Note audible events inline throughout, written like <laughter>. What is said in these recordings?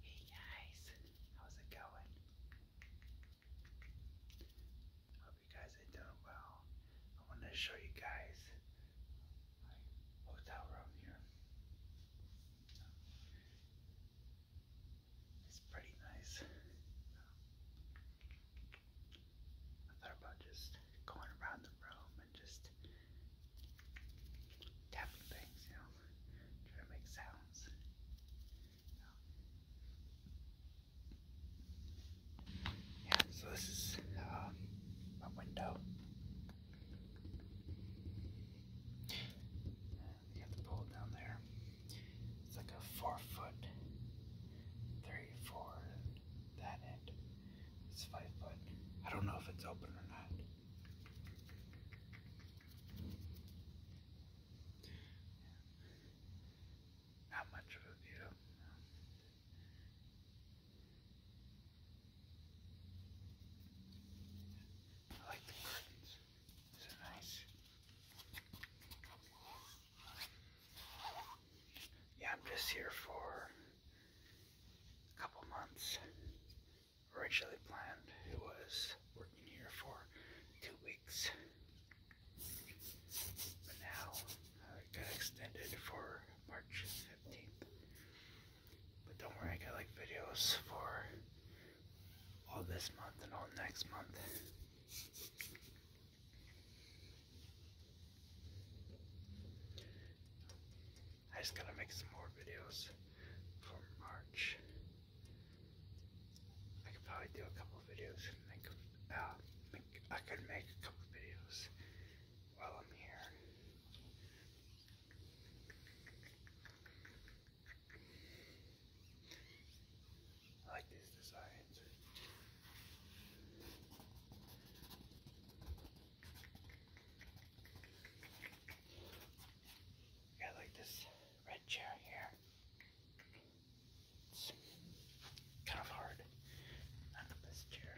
Hey guys, how's it going? Hope you guys are doing well. I want to show you guys my hotel room here. It's pretty nice. I thought about just going around the room and just tapping you know, trying to make sounds. Yeah, so this is um, my window. You got the pool down there. It's like a four foot, three, four, that end. It's five foot. I don't know if it's open or not. Not much of a view. I like the curtains. These nice. Yeah, I'm just here for a couple months originally planned. It was working here for two weeks. But now I uh, it got extended for March 15th. But don't worry, I got like videos for all this month and all next month. I just gotta make some more videos for March. I could probably do a couple videos make, uh, make, I could make a couple videos while I'm here. I like these designs. I like this red chair here. It's kind of hard. Not this chair.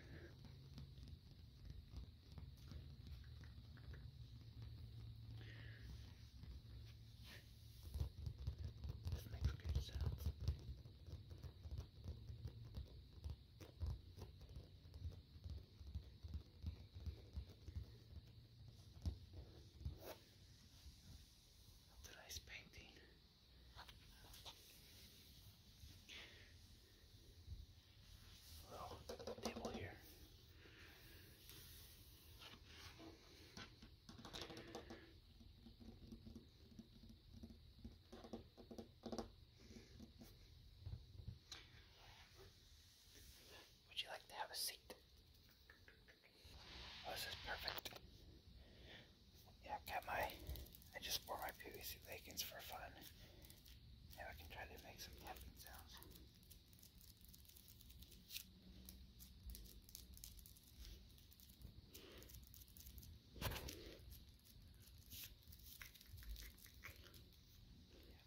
This makes good sounds. Today's painting. A little table here. Would you like to have a seat? Oh, this is perfect. Yeah, I got my, I just wore my PVC leggings for fun. Now I can try to make some tapping sounds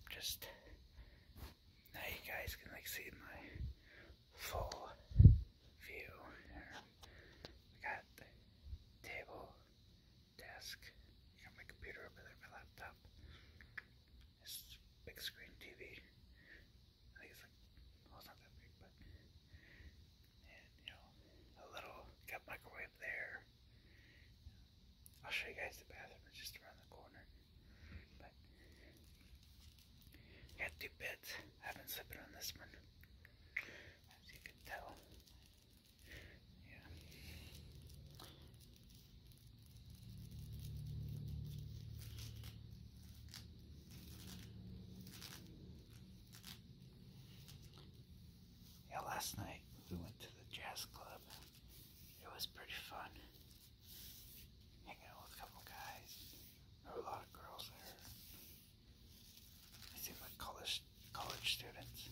just now you guys can like see my full view. I got the table, desk, got my computer over there, my laptop, this big screen TV. it's not that big but you know a little got microwave there I'll show you guys the bathroom it's just around the corner. got two beds. I've been sleeping on this one. As you can tell. Yeah. Yeah, last night we went to the jazz club it was pretty fun hanging out with a couple guys. a lot of girls there. They seemed like college college students.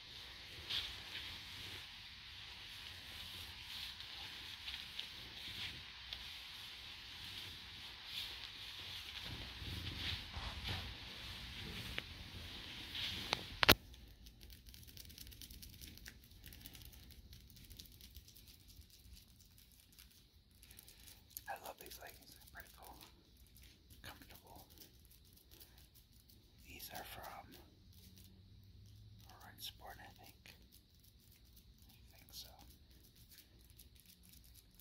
I love these leggings, they're pretty cool, comfortable, these are from Orange Sport, I think. I think so.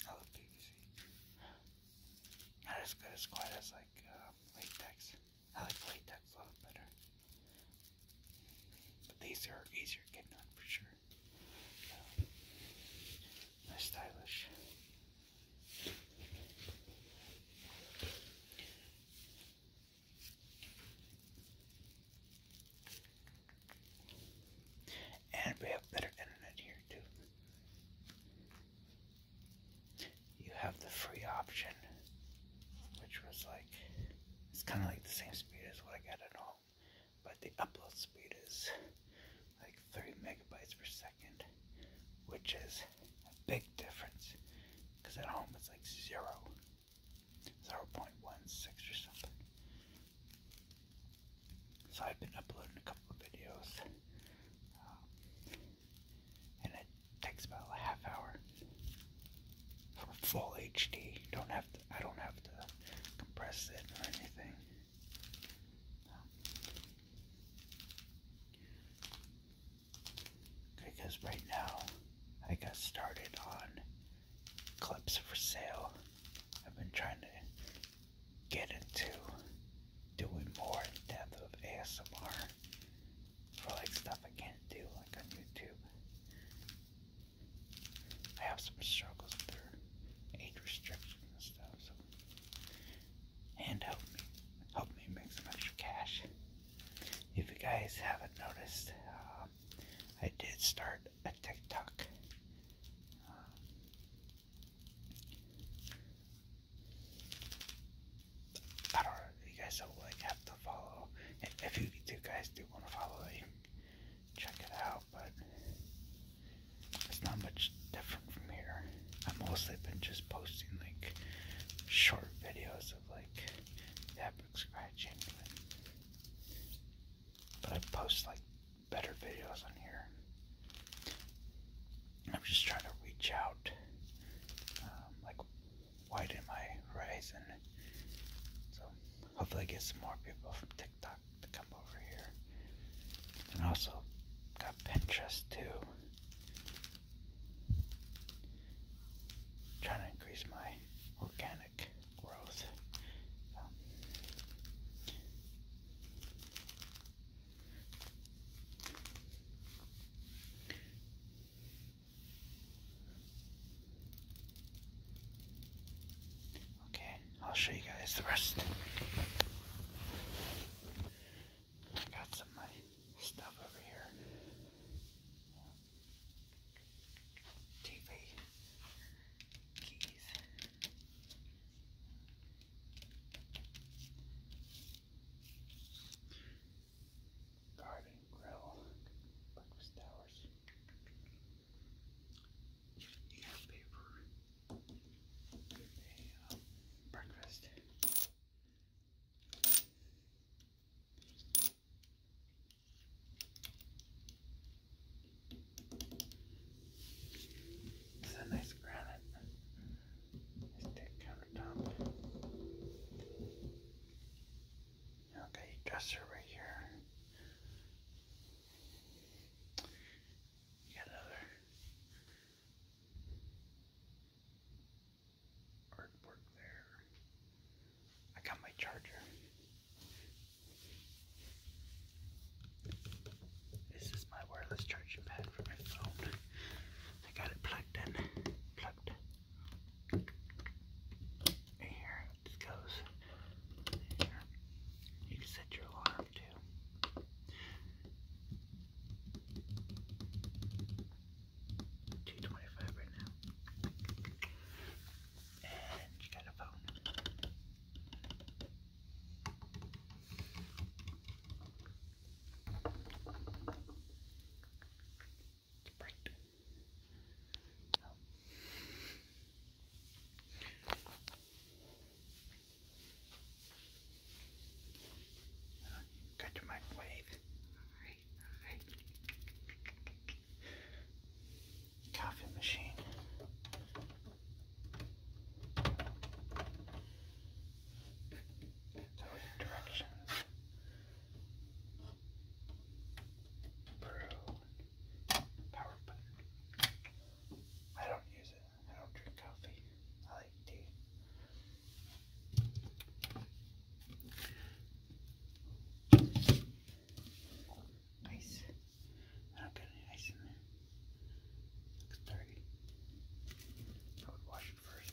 I love PVC. Not as good as quite as like uh, latex. I like latex a lot better. But these are easier to get on for sure. Um, they're stylish. And we have better internet here too. You have the free option, which was like, it's kind of like the same speed as what I got at home, but the upload speed is like 30 megabytes per second which is a big difference because at home it's like zero, 0.16 or something. So I've been uploading a couple of videos um, and it takes about a half hour for full HD. Don't have I don't have to compress it or anything because right now I got started on clips for sale. I've been trying to get into doing more in depth of ASMR for like stuff I can't do like on YouTube. I have some struggles with their age restrictions and stuff, so and help me help me make some extra cash. If you guys haven't noticed, um, I did start a TikTok. Uh, you guys do like have to follow. If you guys do want to follow, you check it out. But it's not much different from here. I've mostly been just posting like short videos of like fabric scratching, but I post like better videos on here. I'm just trying to reach out, um, like widen my horizon. So hopefully, I get some more people from TikTok to come over here, and also got Pinterest too trying to increase my organic growth. Um, okay, I'll show you guys the rest. I got some of stuff over here. TV keys. Garden grill, breakfast hours, newspaper, breakfast, it's a nice granite stick countertop. Okay, dresser right here. You got another artwork there. I got my charger. This is my wireless charging pad for my phone. I got it plugged in. Plugged. here it goes. You can set your alarm too. 225 right now. And you got a phone. It's bright. Oh. Uh, got microwave. Coffee machine. Directions. Brew. Power button. I don't use it. I don't drink coffee. I like tea. Ice. I don't got any ice in there. Looks dirty. I would wash it first.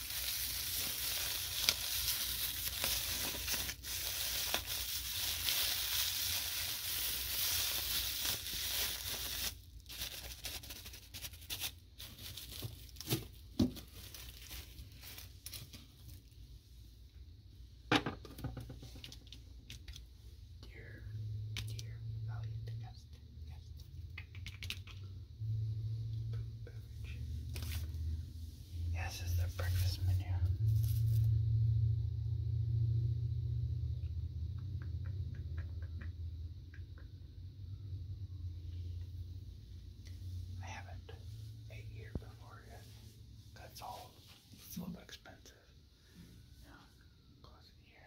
Dear, dear, valiant guest, guest. Yes, it's the breakfast menu. I haven't ate here before yet. That's all. It's a little expensive. Now, close here.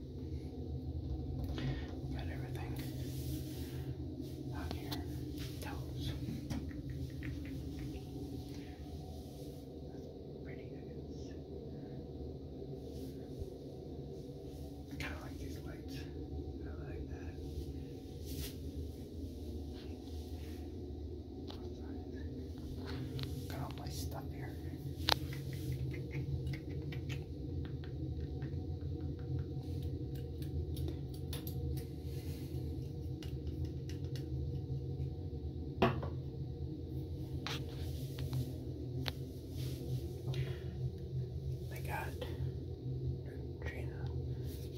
Got everything out here. Towels. pretty, I guess. I kind of like these lights. I like that. Got all my stuff here. They got Neutrogena,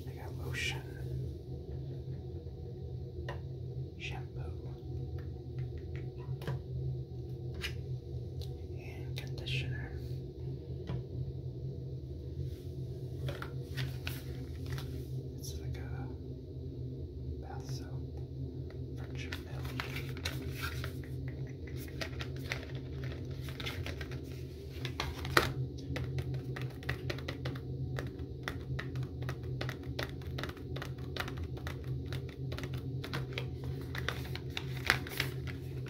they got lotion, shampoo, and conditioner. It's like a bath soap from Chanel.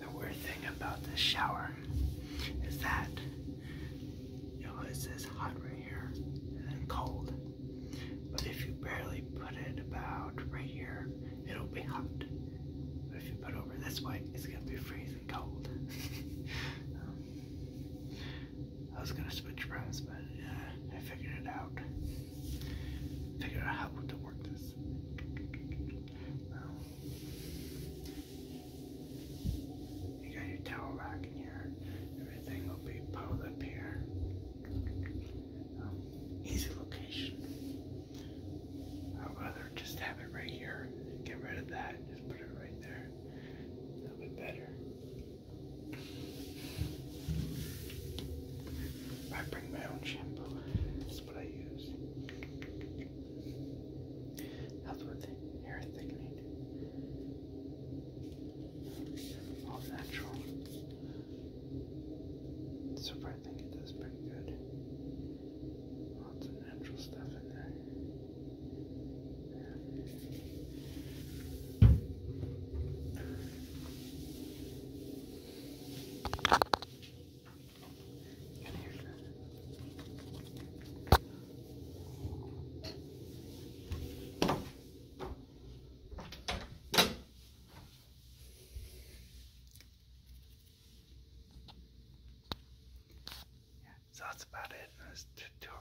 The weird thing about this shower is that you know, it hot right here and then cold. But if you barely put it about right here, it'll be hot. But if you put over this way, it's gonna be freezing cold. <laughs> I was gonna switch rooms, but uh, I figured it out. Figured out how to work this you got your towel rack in here. Everything will be piled up here. Oh, easy location. I'd rather just have it right here. Get rid of that. And just put it right there. A little bit better. I bring my own shampoo what I use. Helps with hair thickening. All natural. So I think it does pretty good. Lots of natural stuff in there. Yeah, so that's about it. This tour.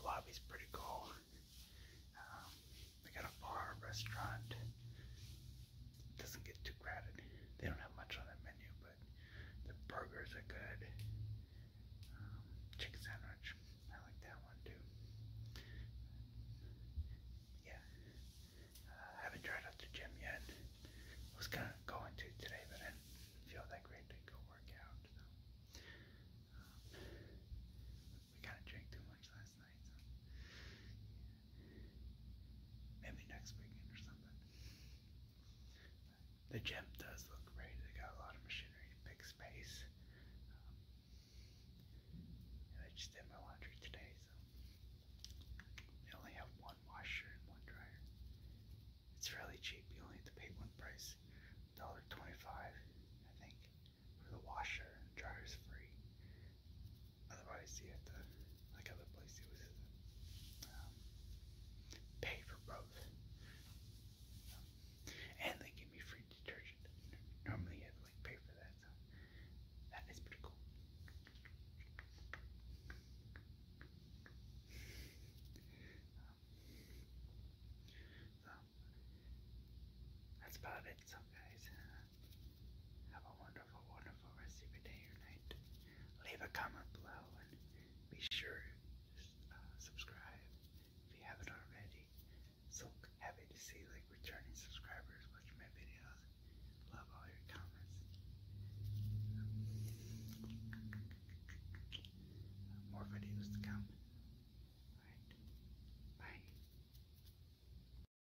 The lobby's pretty cool. we um, got a bar, restaurant, doesn't get too crowded. They don't have much on their menu, but the burgers are good. Um, chicken sandwich, I like that one too. Yeah, uh, I haven't tried out the gym yet. I was gonna go into today, but I didn't feel that great to go work out. So. Um, we kind of drank too much last Maybe next weekend or something. the gym does look great. They got a lot of machinery, big space. Um, and I just did my laundry today, so they only have one washer and one dryer. It's really cheap. You only have to pay one price, $1.25, I think, for the washer and is free. Otherwise, you have to, like other places, um, pay for both. and they give me free detergent. Normally, you have to pay for that. So that is pretty cool. so that's about it, so guys. Have a wonderful, wonderful rest of your night. Leave a comment below and be sure to uh, subscribe if you haven't already. So happy to see like returning subscribers watching my videos. Love all your comments. More videos to come. Alright. Bye.